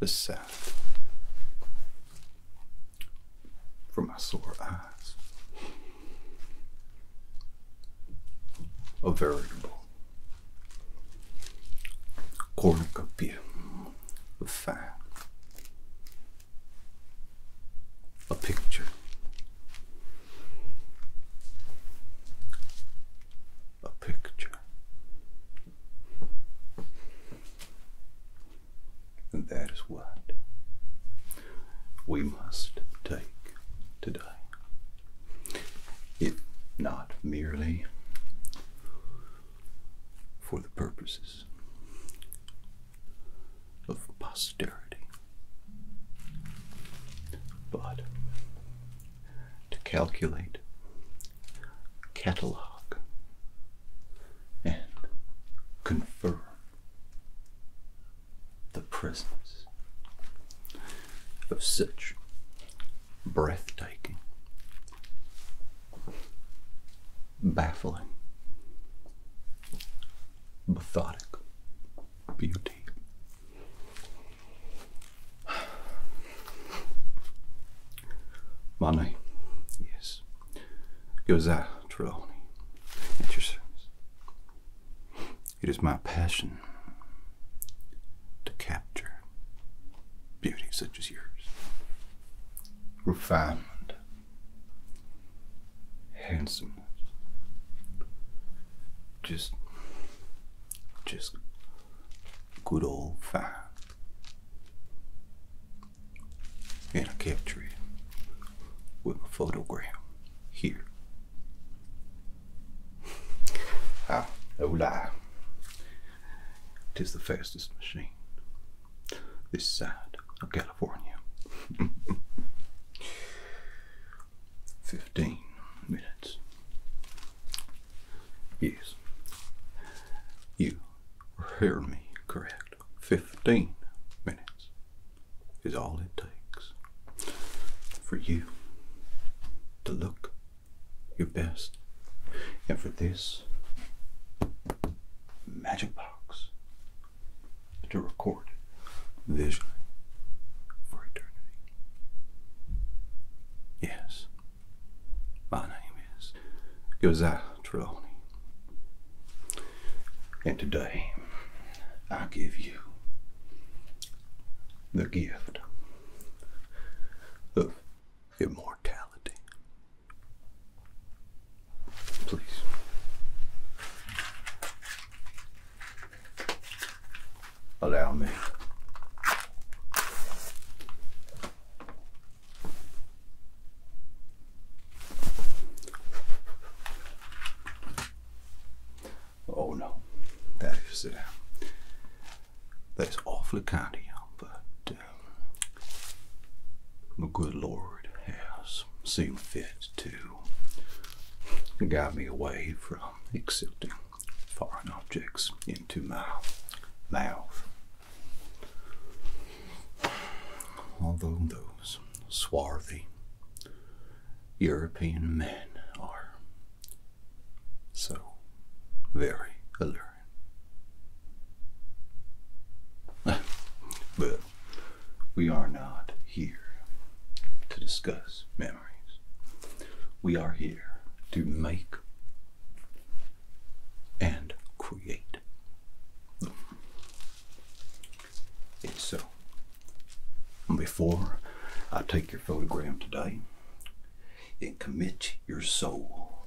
the south for my sore eyes. A veritable cornucopia of fine. A picture. A picture. And that is what we must take today. If not merely for the purposes of posterity, but to calculate catalog, and confirm the presence of such breathtaking, baffling, Methodic beauty My name is Josiah Trelawney, at your service. It is my passion to capture beauty such as yours, refinement, handsomeness, just just good old fun, And I capture with a photograph here. Ah, no lie. Tis the fastest machine this side of California. 15 minutes. Yes. You heard me correct. Fifteen minutes is all it takes for you to look your best. And for this magic box to record visually for eternity. Yes. My name is Josiah Trelawney. And today I give you the gift of immortality. Please. Allow me. Oh no, that is uh, that is awfully kind of you, but the uh, good Lord has seen fit to guide me away from accepting foreign objects into my mouth. Although those swarthy European men are so very alluring. but we are not here to discuss memories. We are here to make and create. so, before I take your photograph today and commit your soul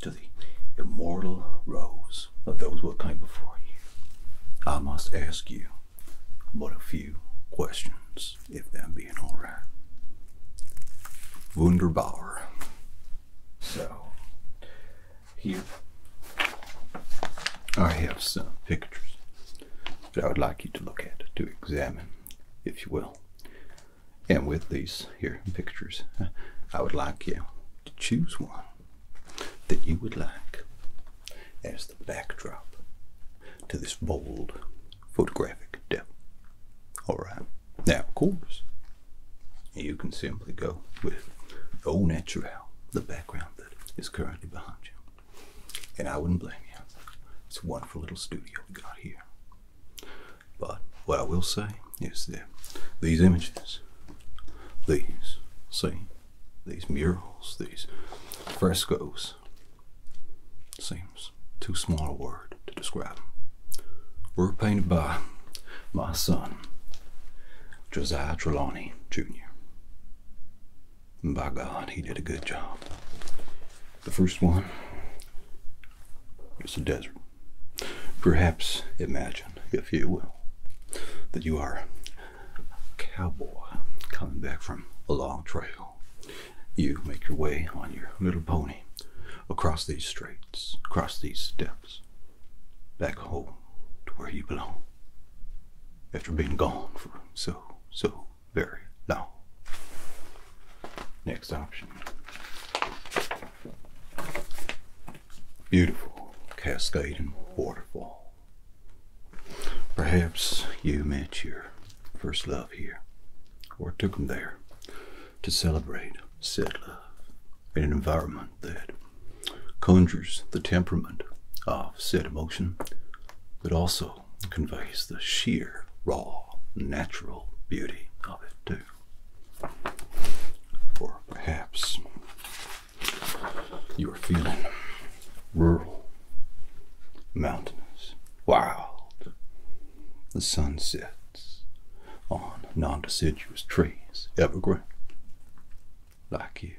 to the immortal rose of those who came before you, I must ask you but a few questions thoughts, if they being alright. Wunderbar. So, here I have some pictures that I would like you to look at, to examine, if you will. And with these here pictures, I would like you to choose one that you would like. And backdrop to this bold photographic demo. Alright, now of course, you can simply go with au naturel, the background that is currently behind you. And I wouldn't blame you. It's a wonderful little studio we got here. But what I will say is that these images, these, see, these murals, these frescoes, seems too small a word to describe. Were painted by my son, Josiah Trelawney Jr. And by God, he did a good job. The first one is a desert. Perhaps imagine, if you will, that you are cowboy coming back from a long trail. You make your way on your little pony across these straits, across these steps, back home to where you belong. After being gone for so, so very long. Next option. Beautiful cascading waterfall. Perhaps you met your first love here, or took him there to celebrate said love in an environment that conjures the temperament of said emotion, but also conveys the sheer, raw, natural beauty of it, too. Or perhaps you were feeling rural, mountainous, wild. The sun sets on non deciduous trees, evergreen, like you,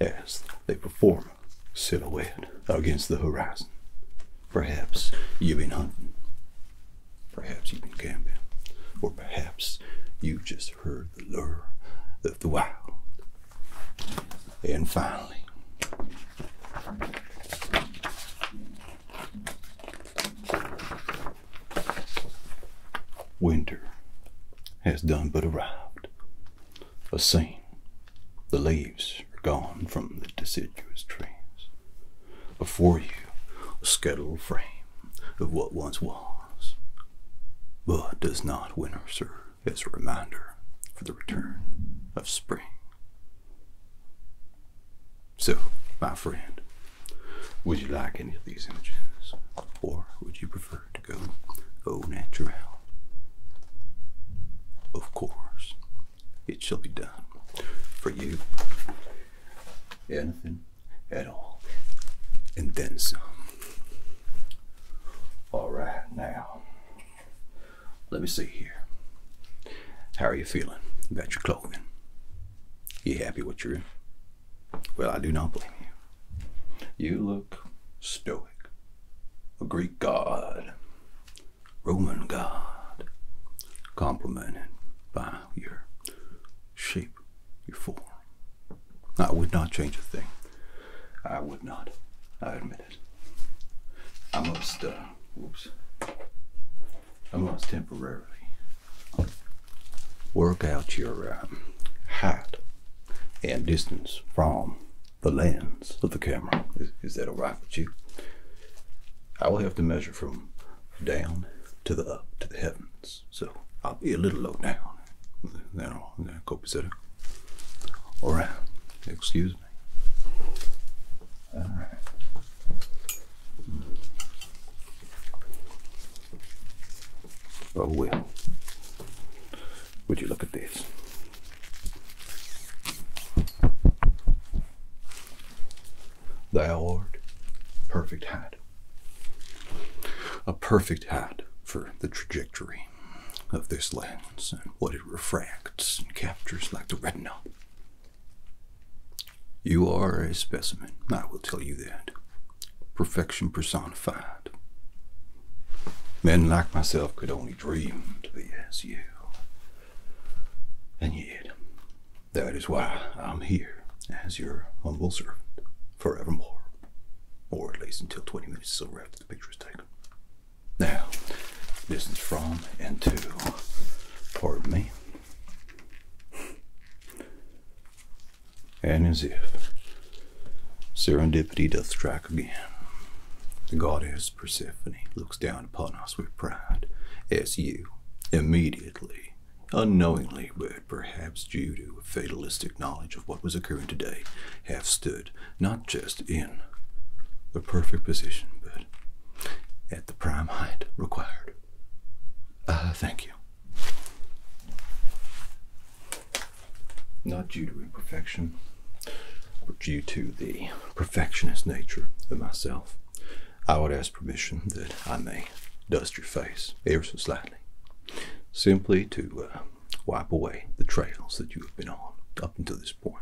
as they perform a silhouette against the horizon. Perhaps you've been hunting, perhaps you've been camping, or perhaps you have just heard the lure of the wild and finally, winter has done but arrived. A scene. The leaves are gone from the deciduous trees. Before you, a skeletal frame of what once was, but does not winter serve is a reminder for the return of spring. So, my friend, would you like any of these images, or would you prefer to go au naturel? Of course, it shall be done for you. Anything at all, and then some. All right, now, let me see here. How are you feeling about your clothing? You happy with your? Well, I do not blame you. You look stoic, a Greek god, Roman god, complimented by your shape, your form, I would not change a thing. I would not. I admit it. I must, uh, whoops. I must temporarily work out your um, height and distance from the lens of the camera. Is, that all right with you? I will have to measure from down to the up to the heavens. So I'll be a little low down. Then I'll, or excuse me. Uh, oh well. Would you look at this? Thou art perfect hat. A perfect hat for the trajectory of this lens and what it refracts and captures like the retina. You are a specimen, I will tell you that. Perfection personified. Men like myself could only dream to be as you. And yet, that is why I'm here as your humble servant forevermore. Or at least until 20 minutes or so after the picture is taken. Now, distance from and to, pardon me, and as if serendipity doth strike again, the goddess Persephone looks down upon us with pride, as you immediately, unknowingly, but perhaps due to a fatalistic knowledge of what was occurring today, have stood not just in the perfect position, but at the prime height required. Uh, thank you. Not due to imperfection, but due to the perfectionist nature of myself, I would ask permission that I may dust your face ever so slightly simply to uh, wipe away the trails that you have been on up until this point.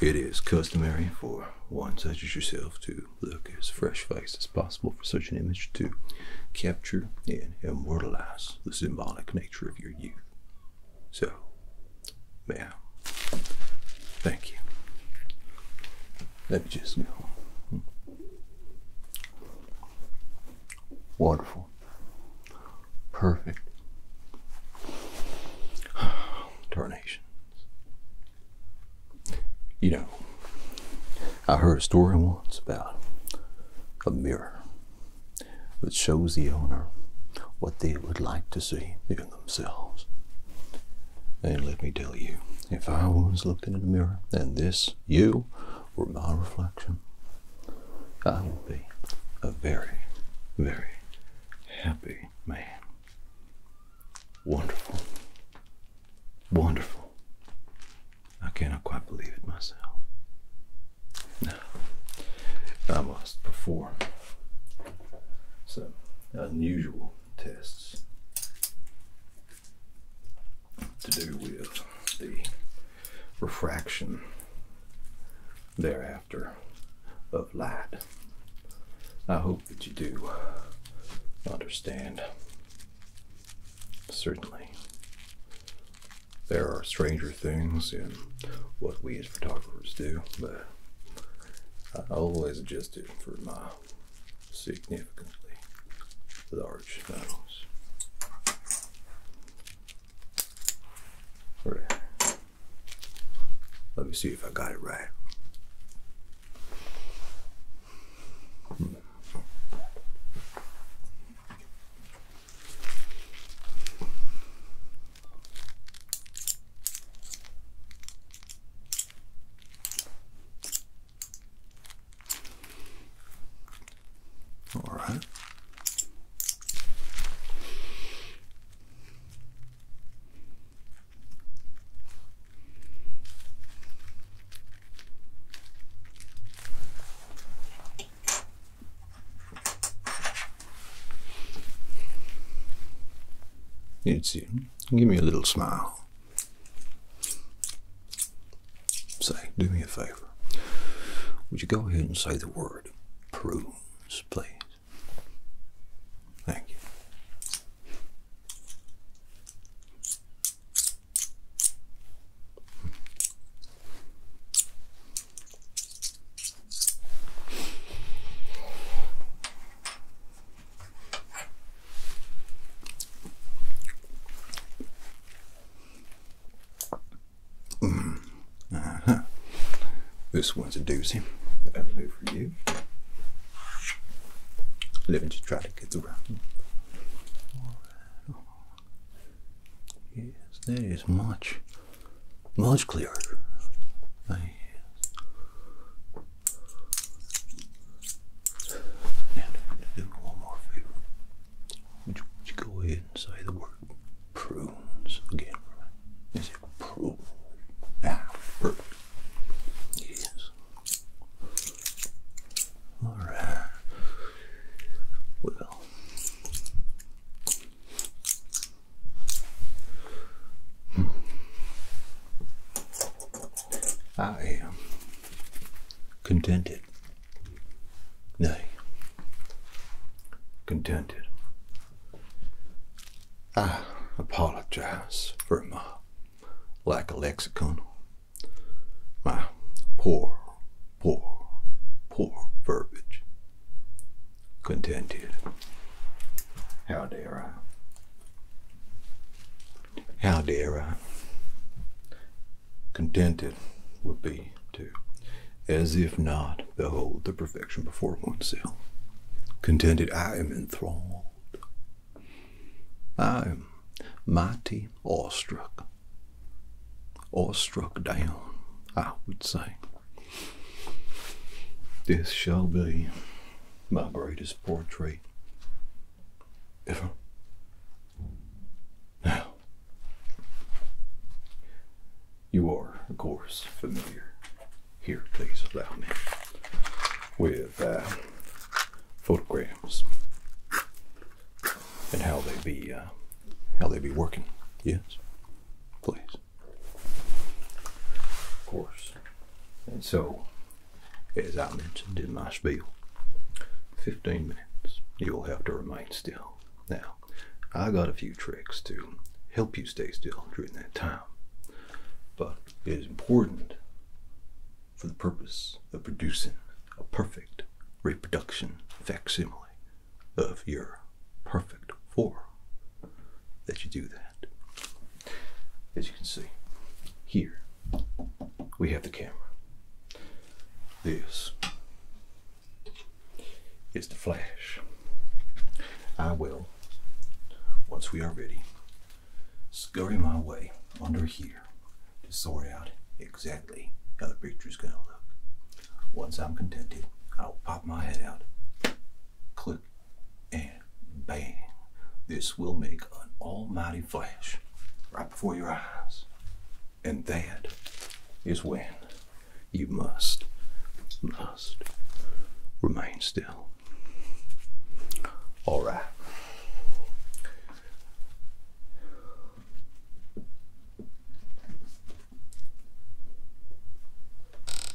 It is customary for one such as yourself to look as fresh faced as possible for such an image to capture and immortalize the symbolic nature of your youth. So, ma'am, thank you. Let me just go. Hmm. Wonderful. Perfect. Tarnations. You know, I heard a story once about a mirror that shows the owner what they would like to see in themselves. And let me tell you, if I was looking in the mirror and this, you, my reflection, I will be a very, very happy man. Wonderful. Wonderful. I cannot quite believe it myself. Now, I must perform some unusual tests to do with the refraction thereafter of light. I hope that you do understand. Certainly, there are stranger things in what we as photographers do, but I always adjust it for my significantly large nose. Let me see if I got it right. All right. You too. Give me a little smile. Say, do me a favor. Would you go ahead and say the word prunes, please? Thank you. Mm-hmm. This one's a doozy. Living to try to get around. Yes, that is much, much clearer. And I'm going to do one more favor. Would you, go ahead and say the word prunes again Is it prune? Ah, Yes. Alright. Well. Hmm. I am contented. Nay, contented. I apologize for my lack of lexicon, my poor, poor, poor verbiage. Contented. How dare I? how dare I? Contented would be to, as if not, behold the perfection before oneself. Contented, I am enthralled. I am mighty awestruck. Awestruck down, I would say. This shall be my greatest portrait ever. Now, you are, of course, familiar. Here, please allow me with uh, photograms and how they be uh, how they be working. Yes, please. Of course. And so, as I mentioned in my spiel, 15 minutes you'll have to remain still. Now, I got a few tricks to help you stay still during that time, but it is important for the purpose of producing a perfect reproduction facsimile of your perfect form that you do that. As you can see here, we have the camera. This is the flash. I will, once we are ready, scurry my way under here to sort out exactly how the picture is going to look. Once I'm contented, I'll pop my head out, click, and bang. This will make an almighty suddenly flash right before your eyes. And that is when you must, must remain still. All right.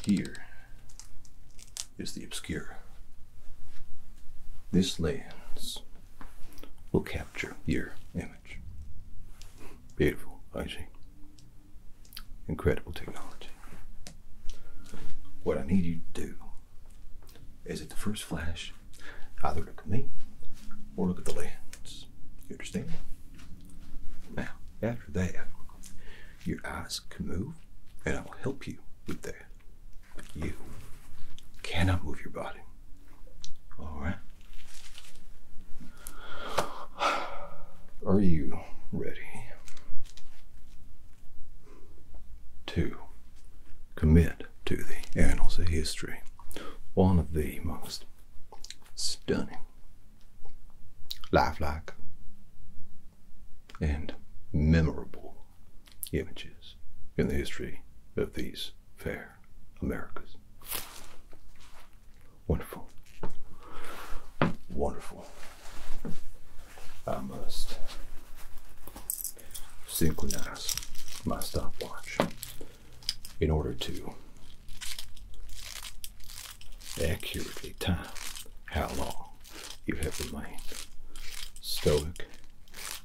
Here is the obscure this lens will capture your image. Beautiful, I see. Incredible technology. What I need you to do is at the first flash, either look at me or look at the lens. You understand? Now, after that, your eyes can move, and I will help you with that. You cannot move your body. All right? Are you ready to commit to the annals of history? One of the most stunning, lifelike, and memorable images in the history of these fair Americas. Wonderful. Wonderful. I must synchronize my stopwatch in order to accurately time how long you have remained stoic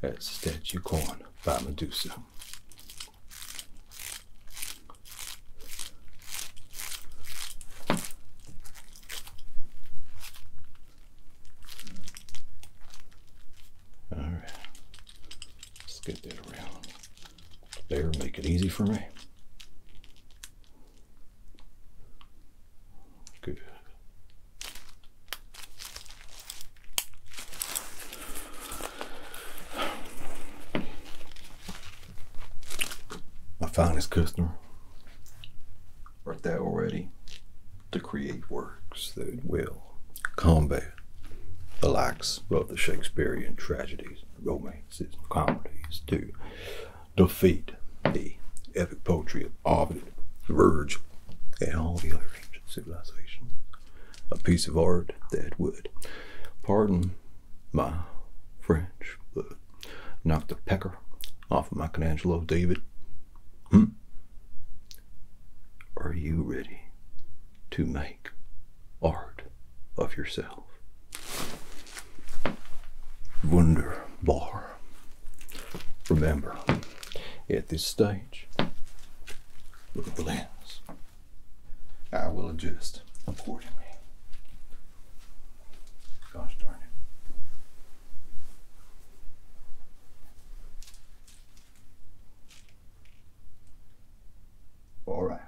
as a statue corn by Medusa. All right, let's get that around there, make it easy for me. Good. My finest customer. Art thou already to create works that will combat the likes of the Shakespearean tragedies, romances, comedies to defeat the epic poetry Ovid, Verge, and all the other ancient civilizations. A piece of art that would, pardon my French, knock the pecker off of Michelangelo, David. Hmm? Are you ready to make art of yourself? Wunderbar. Remember, at this stage, look at the lens. I will adjust accordingly. Gosh darn it. All right.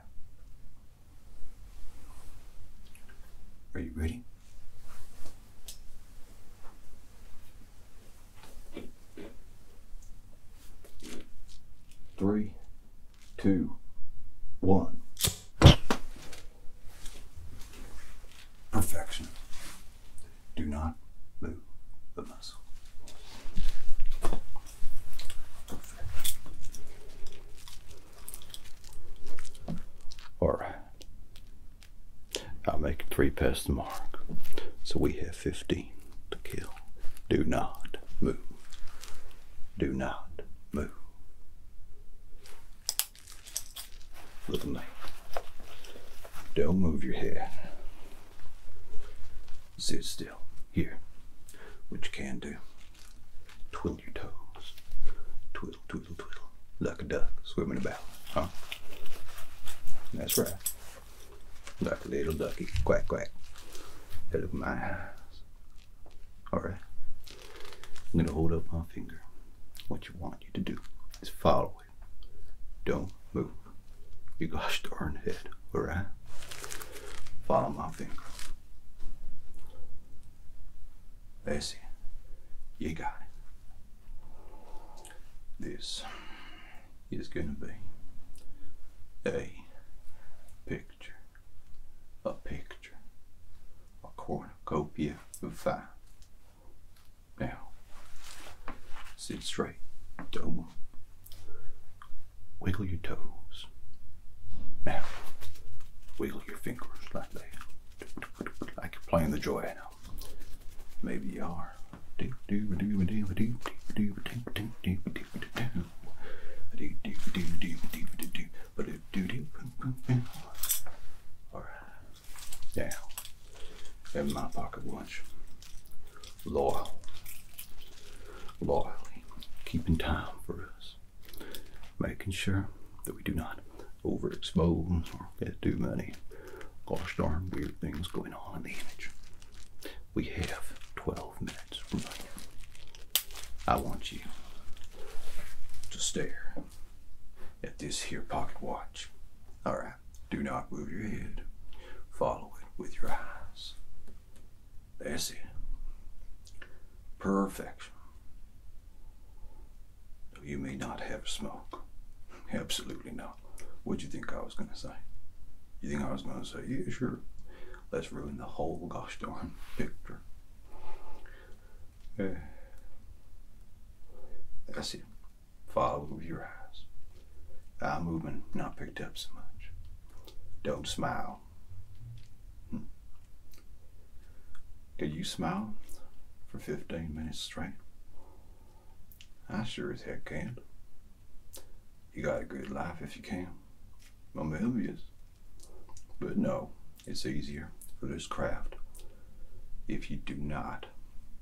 Are you ready? Three, two, one. Perfection. Do not move the muscle. Perfect. I'll make three past the mark. So we have 15 to kill. Do not move. Do not move. Little Don't move your head. Sit still. Here. which you can do. Twiddle your toes. Twiddle twiddle, twiddle, twiddle, like a duck swimming about, huh? That's right. Duck, little ducky, quack, quack. look my eyes. All right. I'm going to hold up my finger. What you want you to do is follow it. Don't move. You gosh darn head, all right? Follow my finger. That's see? You got it. This is going to be a picture, a picture, a cornucopia of five. Now, sit straight, dome Wiggle your toes. Now, wiggle your fingers like that, like playing the joy now. Maybe you are. Alright. Now, in my pocket watch, loyal, loyally keeping time for us, making sure that we do not Overexposed, or get too many gosh darn weird things going on in the image. We have 12 minutes I want you to stare at this here pocket watch. Alright, do not move your head. Follow it with your eyes. That's it. Perfection. You may not have smoke. Absolutely not. what do you think I was gonna say? You think I was gonna say, yeah, sure. Let's ruin the whole gosh darn picture. I see. Follow your eyes. Eye movement not picked up so much. Don't smile. Hmm. Can you smile for 15 minutes straight? I sure as heck can. You got a good life if you can. I'm envious. But no, it's easier for this craft if you do not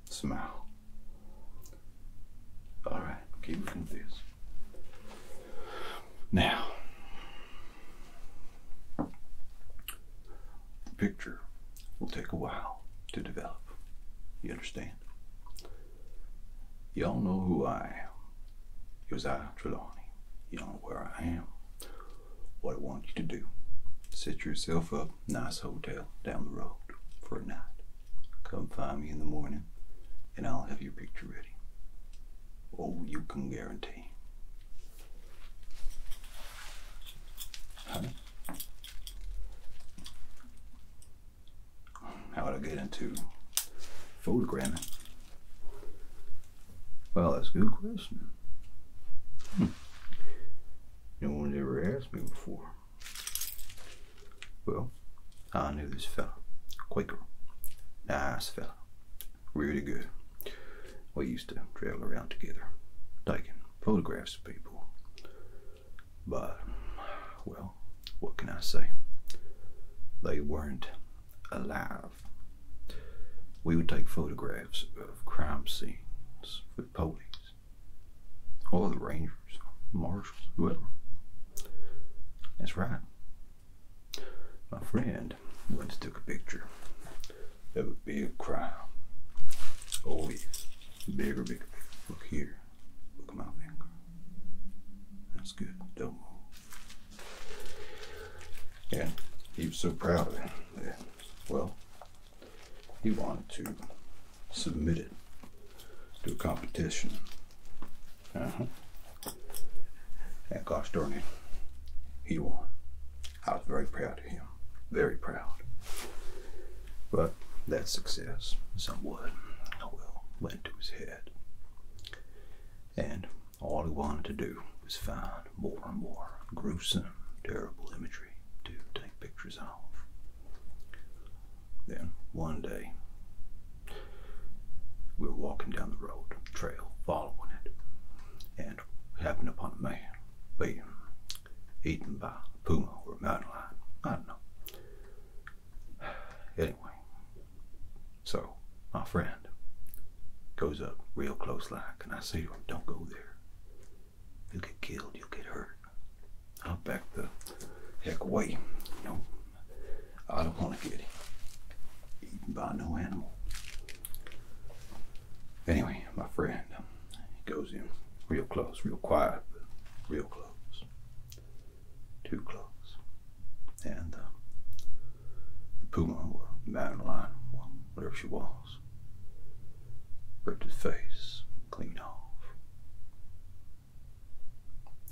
smile. All right, keep looking at this. Now, the Picture will take a while to develop. You understand? Y'all know who I am. Josiah Trelawney. You know where I am. What I want you to do. Set yourself up, nice hotel down the road for a night. Come find me in the morning, and I'll have your picture ready. Oh, you can guarantee how would I get into photogramming? Well, that's a good question. Hmm. No one's ever asked me before. Well, I knew this fella. Quaker. Nice fella really good. We used to travel around together, taking photographs of people. But, well, what can I say? They weren't alive. We would take photographs of crime scenes with police, or the rangers, marshals, whoever. That's right. My friend friend once took a picture That would be a crime. crowd. Always bigger, bigger. Look here. Look at my finger. That's good. Don't move. Yeah, he was so proud of it well, he wanted to submit it to a competition. Uh huh. And gosh darn it, he won. I was very proud of him, very proud. But that success, somewhat, oh well, went to his head. And all he wanted to do was find more and more gruesome, terrible imagery to take pictures of. Then one day, we were walking down the road, trail, following it, and happen upon a man being eaten by a puma or a mountain lion. I don't know. Anyway, so my friend goes up real close like, and I say to him, Don't go there. You'll get killed, you'll get hurt. I'll back the heck away. You know, I don't want to get eaten by no animal. Anyway, my friend um, he goes in real close, real quiet, but real close. Too close. And uh, the puma, or mountain lion, whatever she was, ripped his face clean off.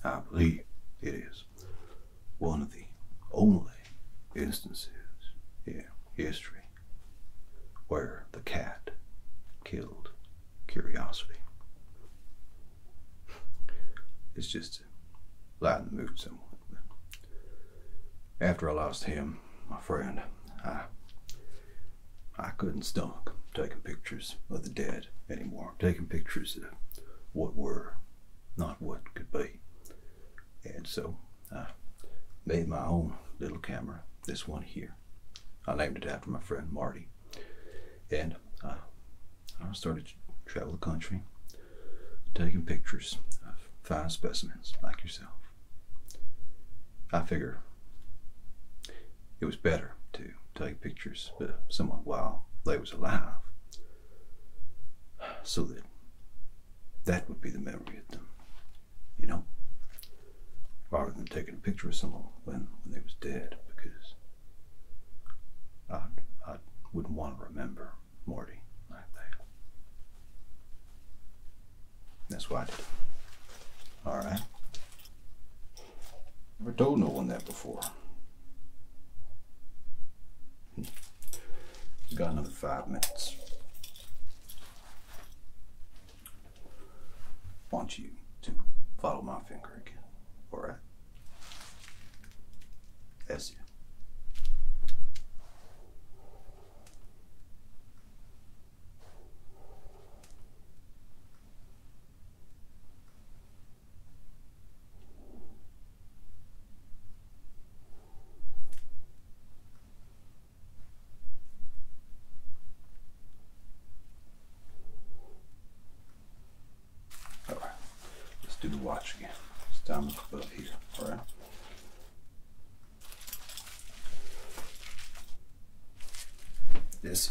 I believe it is one of the only instances yeah, history where the cat killed curiosity. It's just to lighten the mood somewhat. After I lost him, my friend, I I couldn't stomach taking pictures of the dead anymore. Taking pictures of what were, not what could be. And so I made my own little camera, this one here. I named it after my friend Marty. And I, started to travel the country, taking pictures of fine specimens like yourself. I figure it was better to take pictures of someone while they was alive so that that would be the memory of them, you know? Rather than taking a picture of someone when, when they was dead, because I, I wouldn't want to remember Morty like that. That's why I did it. Alright. Never told no one that before. We've got another five minutes. want you to follow my finger again. All right? Yes, sir. All right, let's do the watch again. It's time to put up here, all right? This.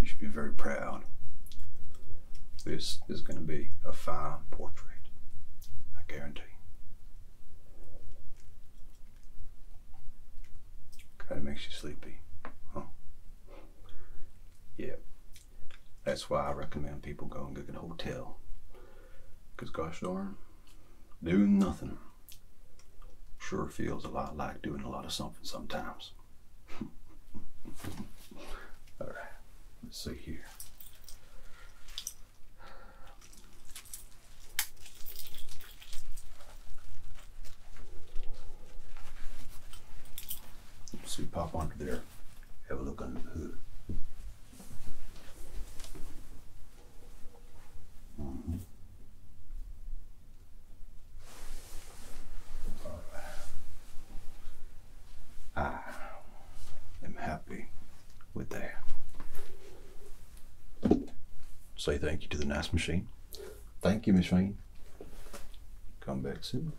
You should be very proud. This is going to be a fine portrait, I guarantee. Kind of makes you sleepy, huh? Yeah. That's why I recommend people go and get a hotel. Because gosh darn, doing nothing sure feels a lot like doing a lot of something sometimes. All right, let's see here. Let's see, pop onto there, have a look under the hood. Mm-hmm. I am happy with that. Say thank you to the nice machine. Thank you, machine. Come back soon.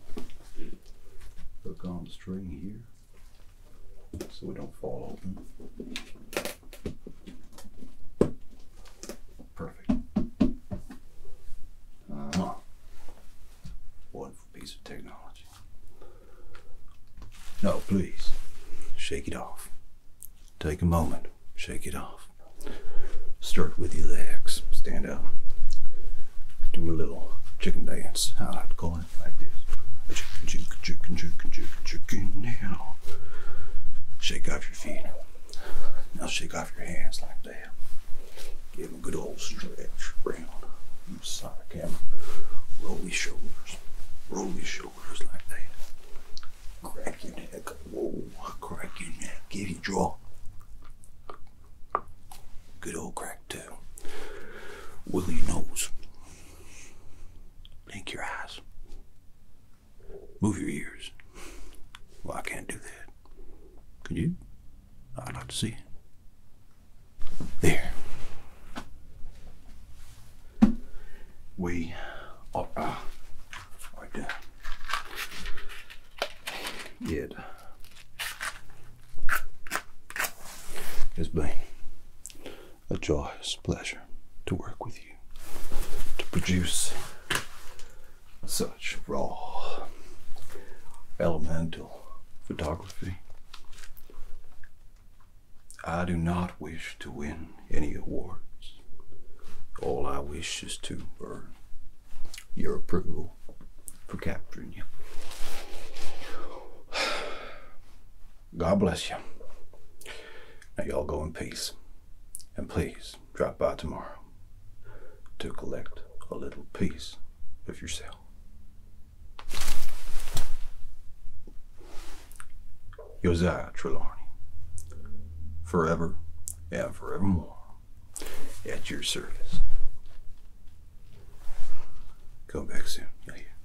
Hook on the string here so we don't fall open. Perfect. Uh, wonderful piece of technology. No, please. Shake it off. Take a moment. Shake it off. Start with your legs. Stand up. Do a little chicken dance. I like to call it like this. Chicken, chicken, chicken, chicken, chicken, chicken now. Shake off your feet. Now shake off your hands like that. Give them a good old stretch round. Move side of camera. Roll your shoulders. Roll your shoulders like that. Crack your neck. Whoa, crack your neck. Give your draw. Good old crack too. Wiggle your nose. Blink your eyes. Move your ears. Well, I can't do that. Could you? I'd like to see it. There. We are uh, right It has been a joyous pleasure to work with you to produce such raw elemental photography. I do not wish to win any awards. All I wish is to earn your approval for capturing you. God bless you. Now, y'all go in peace. And please, drop by tomorrow to collect a little piece of yourself. Josiah Trelawney, forever and forevermore at your service. Come back soon. yeah.